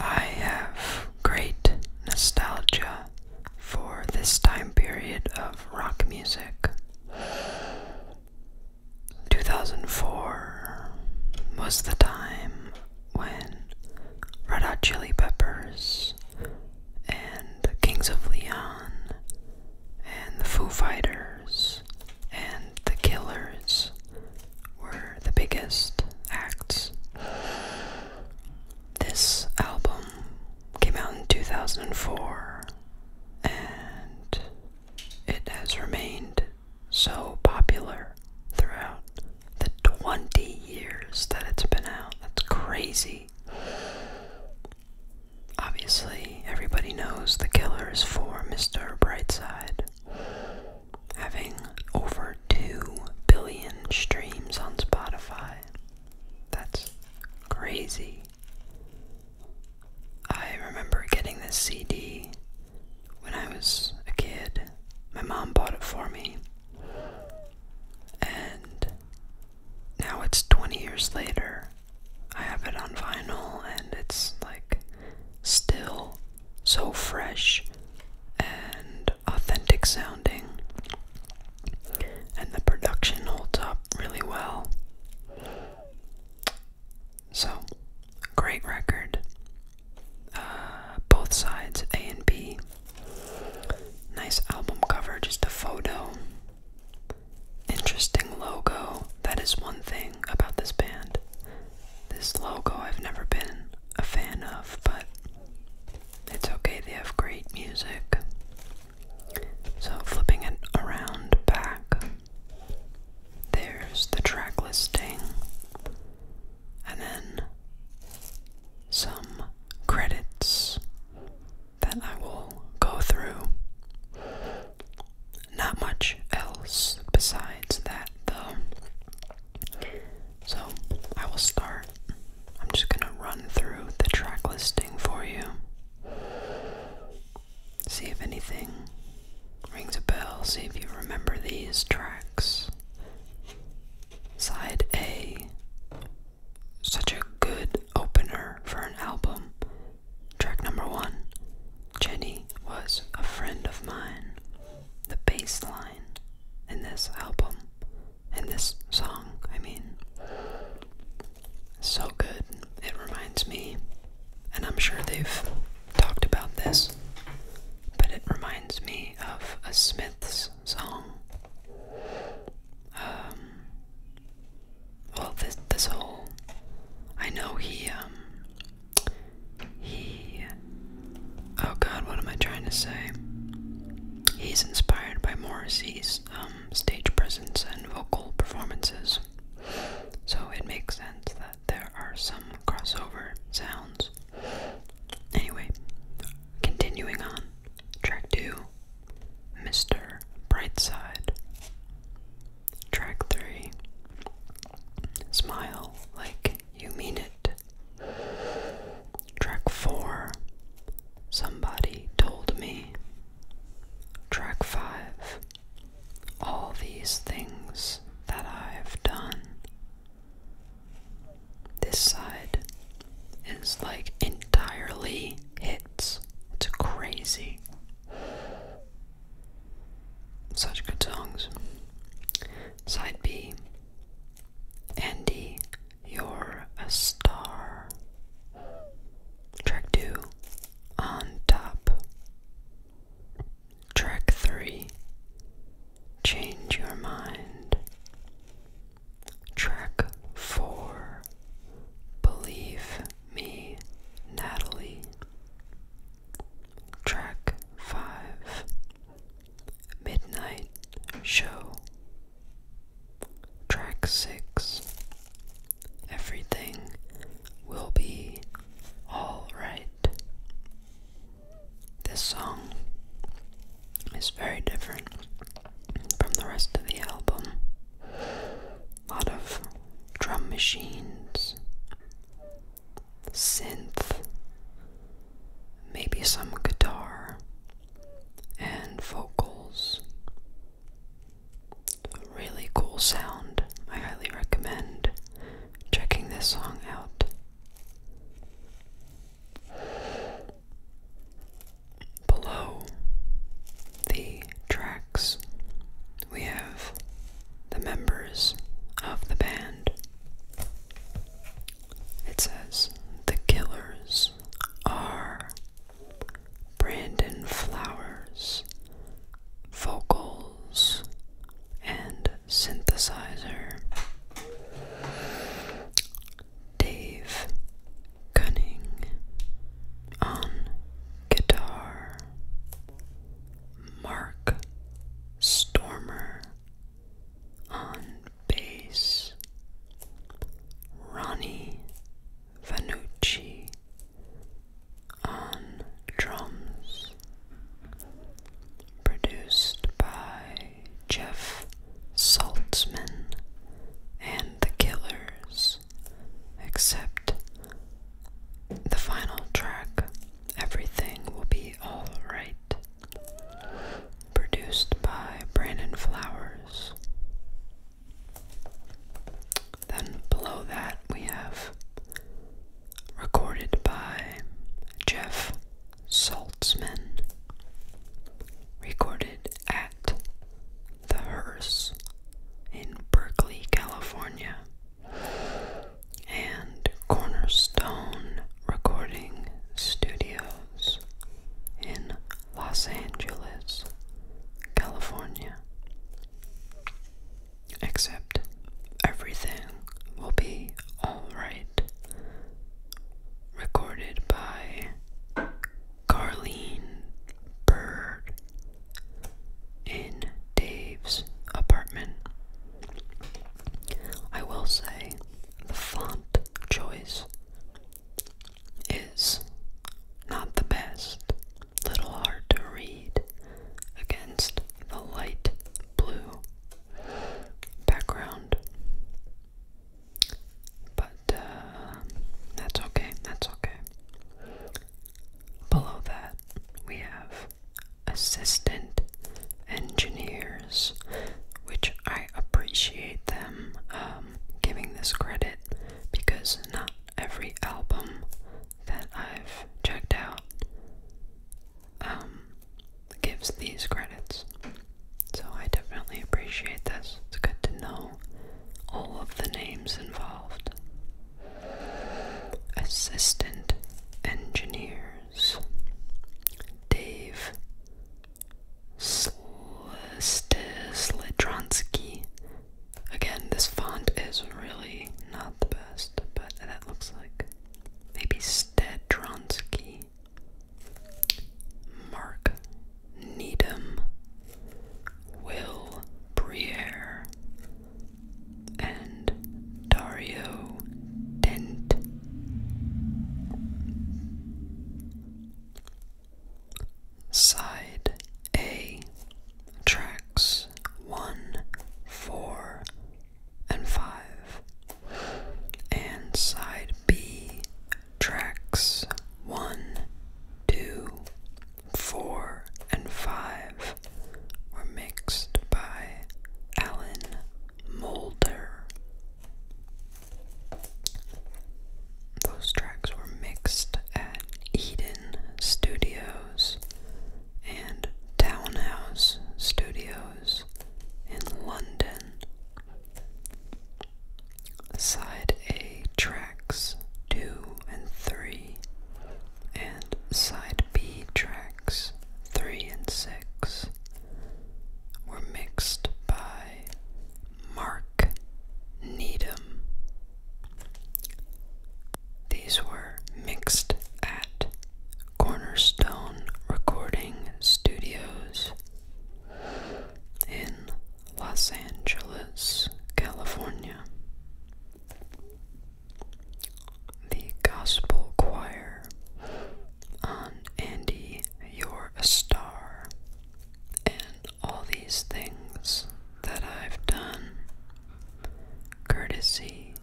I have great nostalgia for this time period of rock music. 2004 was the time when Red Hot Chili Peppers and the Kings of Leon and the Foo Fighters and the Killers were the biggest acts. This album came out in 2004 and it has remained so popular throughout the 20 years that it's been out. That's crazy. Obviously, everybody knows the killers for Mr. Brightside having over 2 billion streams on Spotify. That's crazy. I remember getting this CD when I was a kid. My mom bought it for me. And now it's 20 years later. I have it on vinyl and it's like still so fresh and authentic sounding, and the production holds up really well. So, great record. Uh, both sides, A and B. Nice album cover, just a photo. Interesting logo. That is one thing about this band. This logo I've never been a fan of, but it's okay, they have great music. So, flipping it around back, there's the track listing, and then some credits that I will go through. Not much else besides that, though. So I will start. I'm just going to run through the track listing for you. See if anything rings a bell. See if you remember these tracks. Side A. Such a good opener for an album. Track number one Jenny was a friend of mine the bass line in this album, in this song, I mean. So good. It reminds me, and I'm sure they've talked about this, but it reminds me of a Smiths song. Um, well, this, this whole. I know he, um, he. Oh god, what am I trying to say? He's inspired by Morrissey's um, stage presence and vocal performances. So it makes sense that there are some crossover sounds. Anyway, continuing on. Track 2 Mr. Brightside. Track 3 Smile Like You Mean It. Track 4 Somebody Told Me. Track 5 All These Things That I've Done. This side is like entirely hits. It's crazy. Such good songs. Side B. Andy, you're a star. Track 2. On top. Track 3. Change your mind. Track 4. Believe me, Natalie. Track 5 Midnight Show. Track 6 Everything Will Be Alright. This song is very different from the rest of the album. A lot of drum machines, synth, maybe some guitar and vocals. really cool sound. I highly recommend checking this song out. Below the tracks we have the members of the band. It says the killers are Brandon Flowers, vocals, and synthesizer. Dave Cunning on guitar, Mark Stormer on bass, Ronnie Vanucci on drums, produced by Jeff Saltzman and the Killers, except the final track, Everything Will Be Alright, produced by Brandon Flowers. Then below that, we have recorded by Jeff Saltzman, recorded at The Hearse in Berkeley, California and Cornerstone Recording Studios in Los Angeles, California. Except everything will be alright. Recorded by Carleen Bird in Dave's apartment. I will say the font choice is not the best, little hard to read against the light blue background. But uh, that's okay, that's okay. Below that, we have assistant engineers, which I appreciate them um, giving this credit because not every album that I've checked out um, gives these credits. So I definitely appreciate this. It's good to know all of the names involved. Assistant engineers Dave Slitronsky. Again, this font is really not the best, but that looks like maybe Stedronsky. Mark Needham. Will Briere and Dario Dent. Side A tracks 1, 4, and 5, and side B tracks 1, 2, 4, and 5 were mixed by Alan Moulder. Those tracks were mixed at Eden Studios and Townhouse Studios in London. Side A tracks 2 and 3 and side B tracks 3 and 6 were mixed by Mark Needham. These were mixed at Cornerstone Recording Studios in Los Angeles, California the Gospel Choir on Andy, You're a Star, and all these things that I've done, courtesy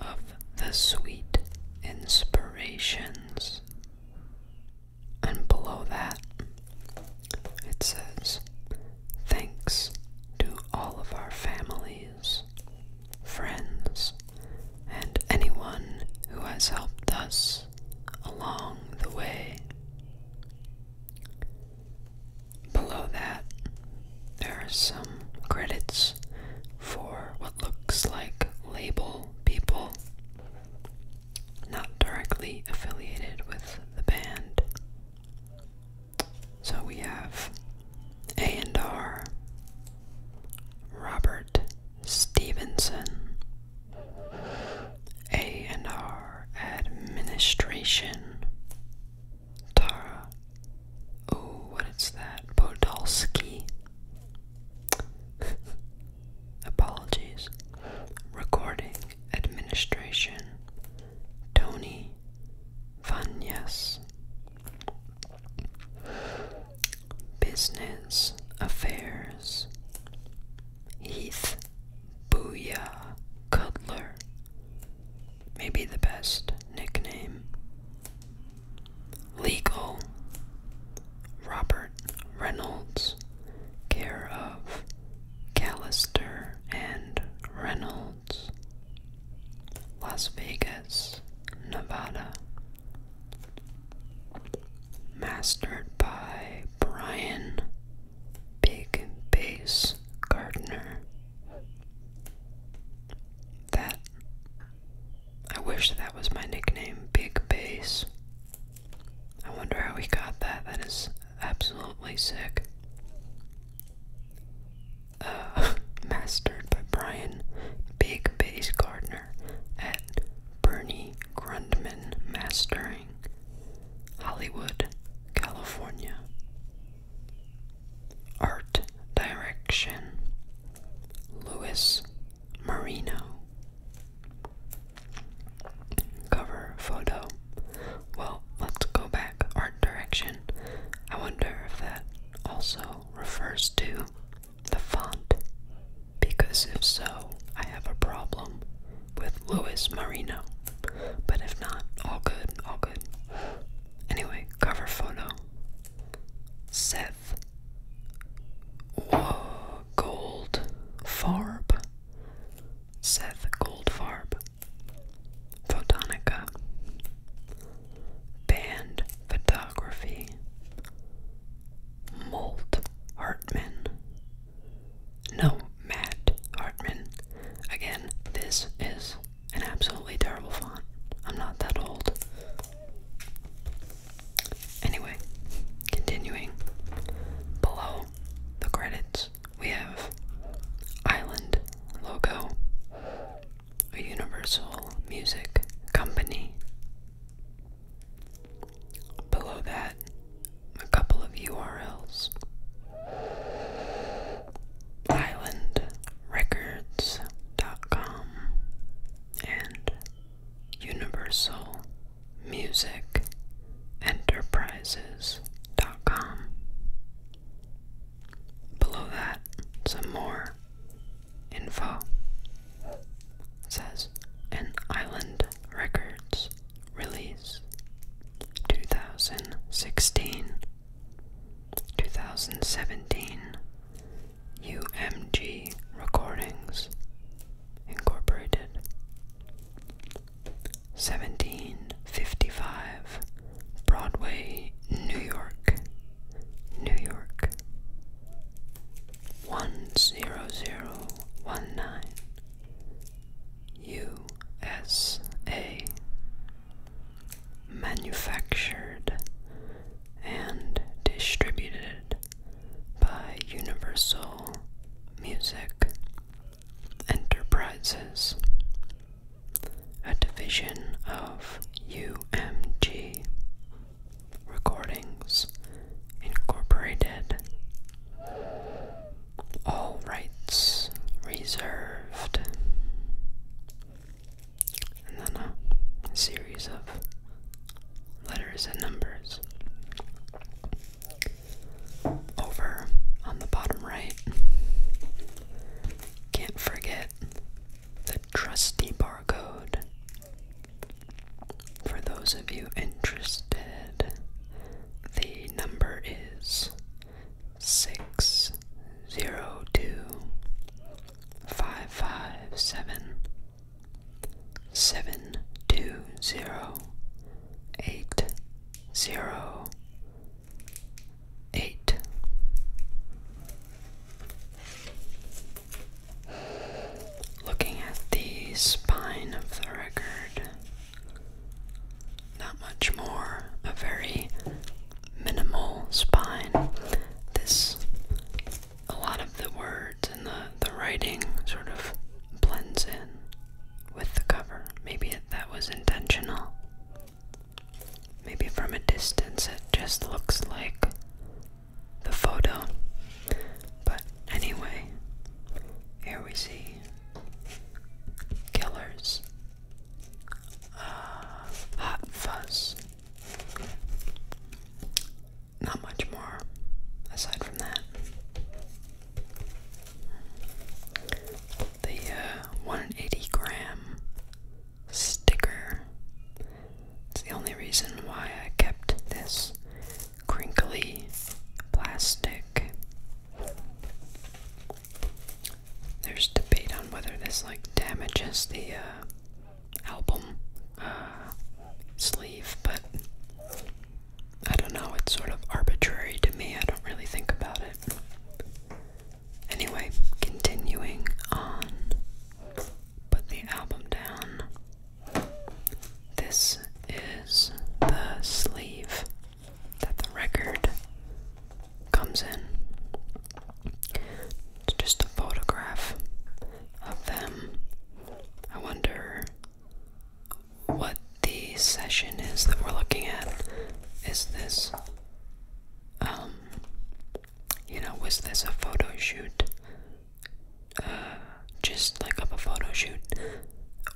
of the sweet inspirations. And below that, it says, Thanks to all of our families, friends, and anyone who has helped us along the way. Below that, there are some credits for what looks like label people not directly affiliated with the band. So we have A&R, Robert Stevenson, A&R Administration, Tara, oh, what is that, Podolsky, apologies, recording, Administration, Tony Vanyas. Business Affairs, Heath Booyah Cutler, maybe the best nickname. Legal, Robert Reynolds care of Callister and Reynolds, Las Vegas, Nevada. Mastered by Brian Big Base Gardner. That I wish that was my nickname, Big Base. I wonder how we got that. That is absolutely sick. Uh, mastered by Brian Big Bass Gardner at Bernie Grundman Mastering, Hollywood, California. Art Direction Louis Marino. Cover photo. Well, let's go back art direction. I wonder if that also refers to the font. Because if so, I have a problem with Louis Marino. But if not, all good, all good. Anyway, cover photo. Seth. gold. Farb. Seth Goldfarb, Photonica, Band Photography, Molt Hartman. No, Matt Hartman. Again, this is an absolutely terrible font. I'm not that old. Anyway, continuing. Below the credits, we have Island Logo, a Universal Music Company. Below that, a couple of URLs dot com and universal musicenterprises.com. Below that, some more info. says an Island Records release 2016 2017 UMG recordings Incorporated. 1755 Broadway, New York, New York. 10019 USA Manufactured and distributed by Universal Music Enterprises, a division of UMG Recordings Incorporated. All rights reserved. And then a series of letters and numbers over on the bottom right. Can't forget the trusty barcode. For those of you interested, the number is 602 seven two zero eight zero eight Looking at the spine of the record, not much more, a very minimal spine. This a lot of the words and the, the writing sort of blends in with the cover. Maybe that was intentional. Maybe from a distance it just looks like the photo. But anyway, here we see Killers, uh, Hot Fuzz, not much more aside from that. The uh, 180 gram sticker. It's the only reason why I kept this crinkly plastic. There's debate on whether this like damages the uh, album uh, sleeve, but I don't know, it's sort of arbitrary to me. I don't really think about it. Anyway, continuing on. Put the album down. This is the sleeve that the record comes in. It's just a photograph of them. I wonder what the session is that we're looking at is this, um, you know, was this a photo shoot? Uh, just like of a photo shoot?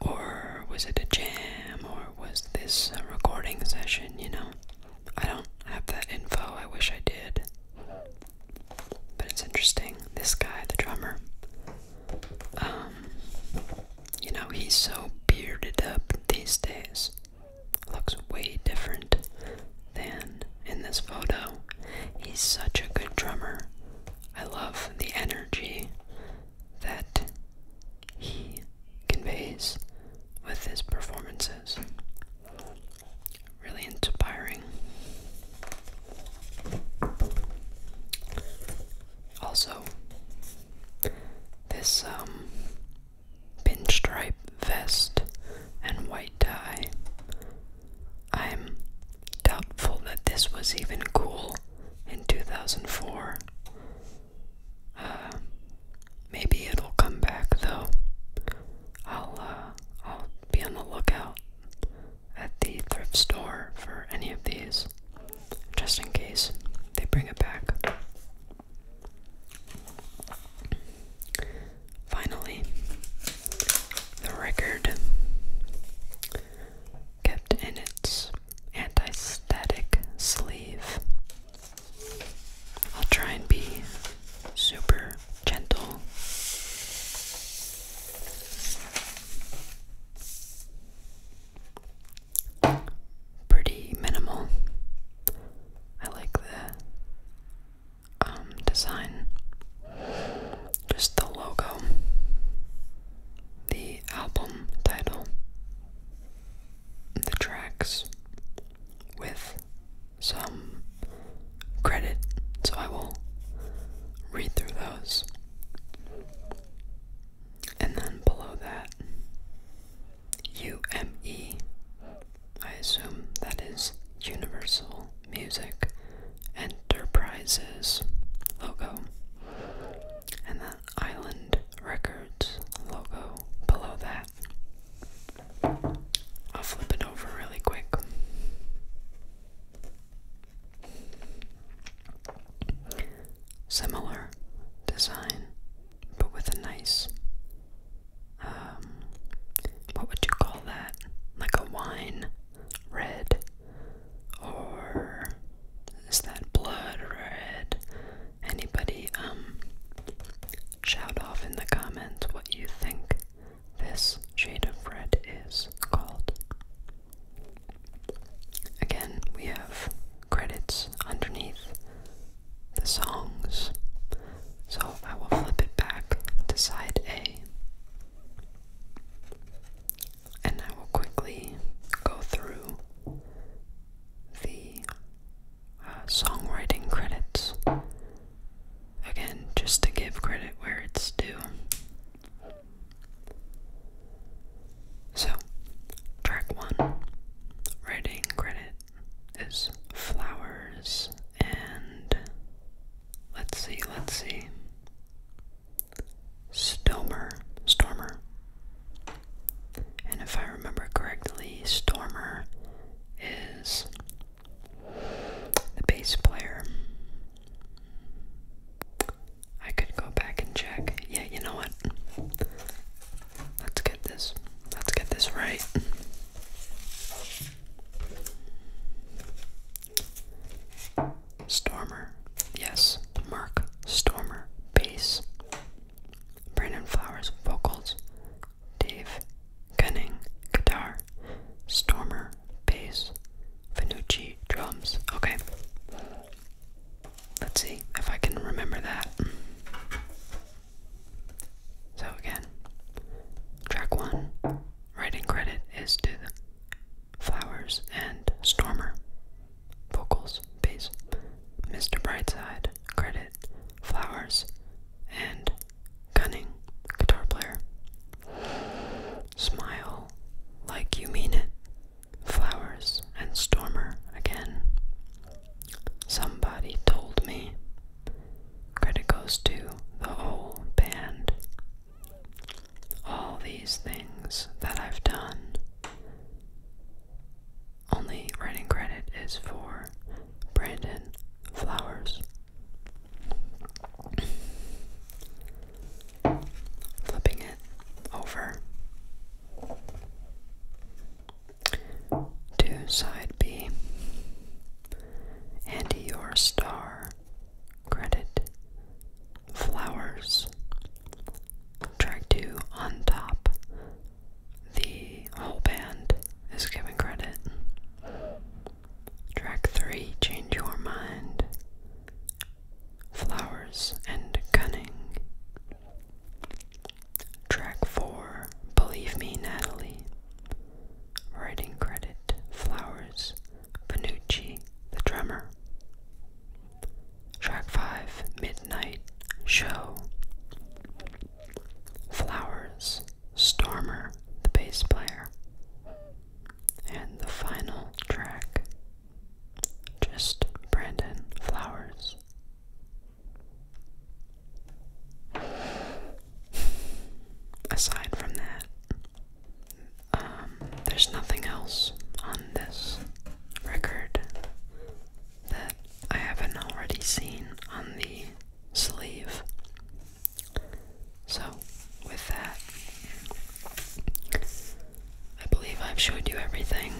Or was it a jam? Or was this a recording session, you know? I don't have that info. I wish I did. But it's interesting. This guy, the drummer, um, you know, he's so bearded up these days. Looks way different than in this photo. He's such a good drummer. I love the energy that he conveys with his performances really inspiring. Also, this um, pinstripe vest and white tie. I'm doubtful that this was even cool in 2004. Uh, maybe it'll come back though. I'll uh, I'll be on the lookout at the thrift store for any of these, just in case they bring it back. Finally, the record, kept in its anti-static sleeve. I'll try and be super gentle. Pretty minimal. I like the um, design. Just the logo, the album title, the tracks with some credit, so I will read through those. And then below that, U M E. I assume that is Universal Music Enterprises logo, and then Island Records logo below that. I'll flip it over really quick. Similar design, but with a nice, um, what would you call that? Like a wine red, or is that blood red? Anybody, um, shout off in the comments what you think this shade of red is called. Again, we have credits underneath the songs. So I will flip it back to side A. And I will quickly go through the uh, songwriting credits Again, just to give credit where it's due. So, track one writing credit is flowers, and let's see, let's see. Stormer, Stormer. And if I remember correctly, Stormer is the bass player. I could go back and check. Yeah, you know what? Let's get this. Let's get this right. Stormer. Yes, Mark Stormer. Bass. Brandon Flowers. Vocals. Dave Gunning, guitar, Stormer, bass, Finucci, drums. Okay. Let's see if I can remember that. So, again, track one, writing credit is to Flowers and Stormer. Vocals, bass, Mr. Brightside, credit, Flowers, and cunning guitar player. Smile like you mean it. Flowers and Stormer again. Somebody told me. Credit goes to the whole band. All these things that I've done. Only writing credit is for Brandon Flowers. Flipping it over to side B. And your star credit flowers. Track 2 on top the whole band is given credit. Track 3 Change Your Mind, Flowers and Cunning. Track 4 Believe Me, Natalie. Writing credit Flowers, Panucci, the drummer. Track 5 Midnight Show. Flowers, Stormer, the bass player. And the final track, just Brandon Flowers. Aside from that, um, there's nothing else on this record that I haven't already seen on the sleeve. So, with that, I believe I've showed you everything.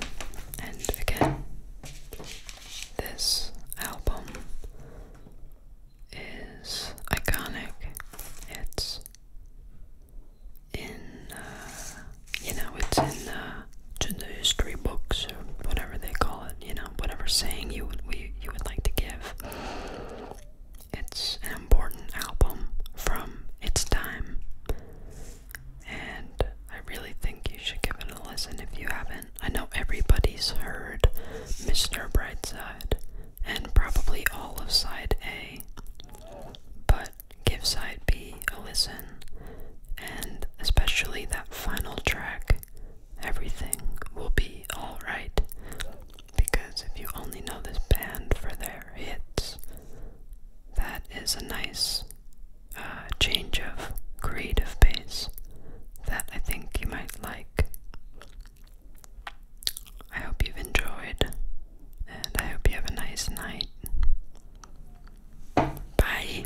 And again, this album is iconic. It's in, uh, you know, it's in uh, the history books or whatever they call it you know, whatever saying you would you would like to give. It's an important album from its time. And I really think you should give it a listen if you haven't. I know everybody's heard Mr. Brightside and probably all of side A. But give side B a listen. And especially that final track everything will be alright. Because if you only know this band for their hits, that is a nice uh, change of creative base that I think you might like. I hope you've enjoyed, and I hope you have a nice night. Bye.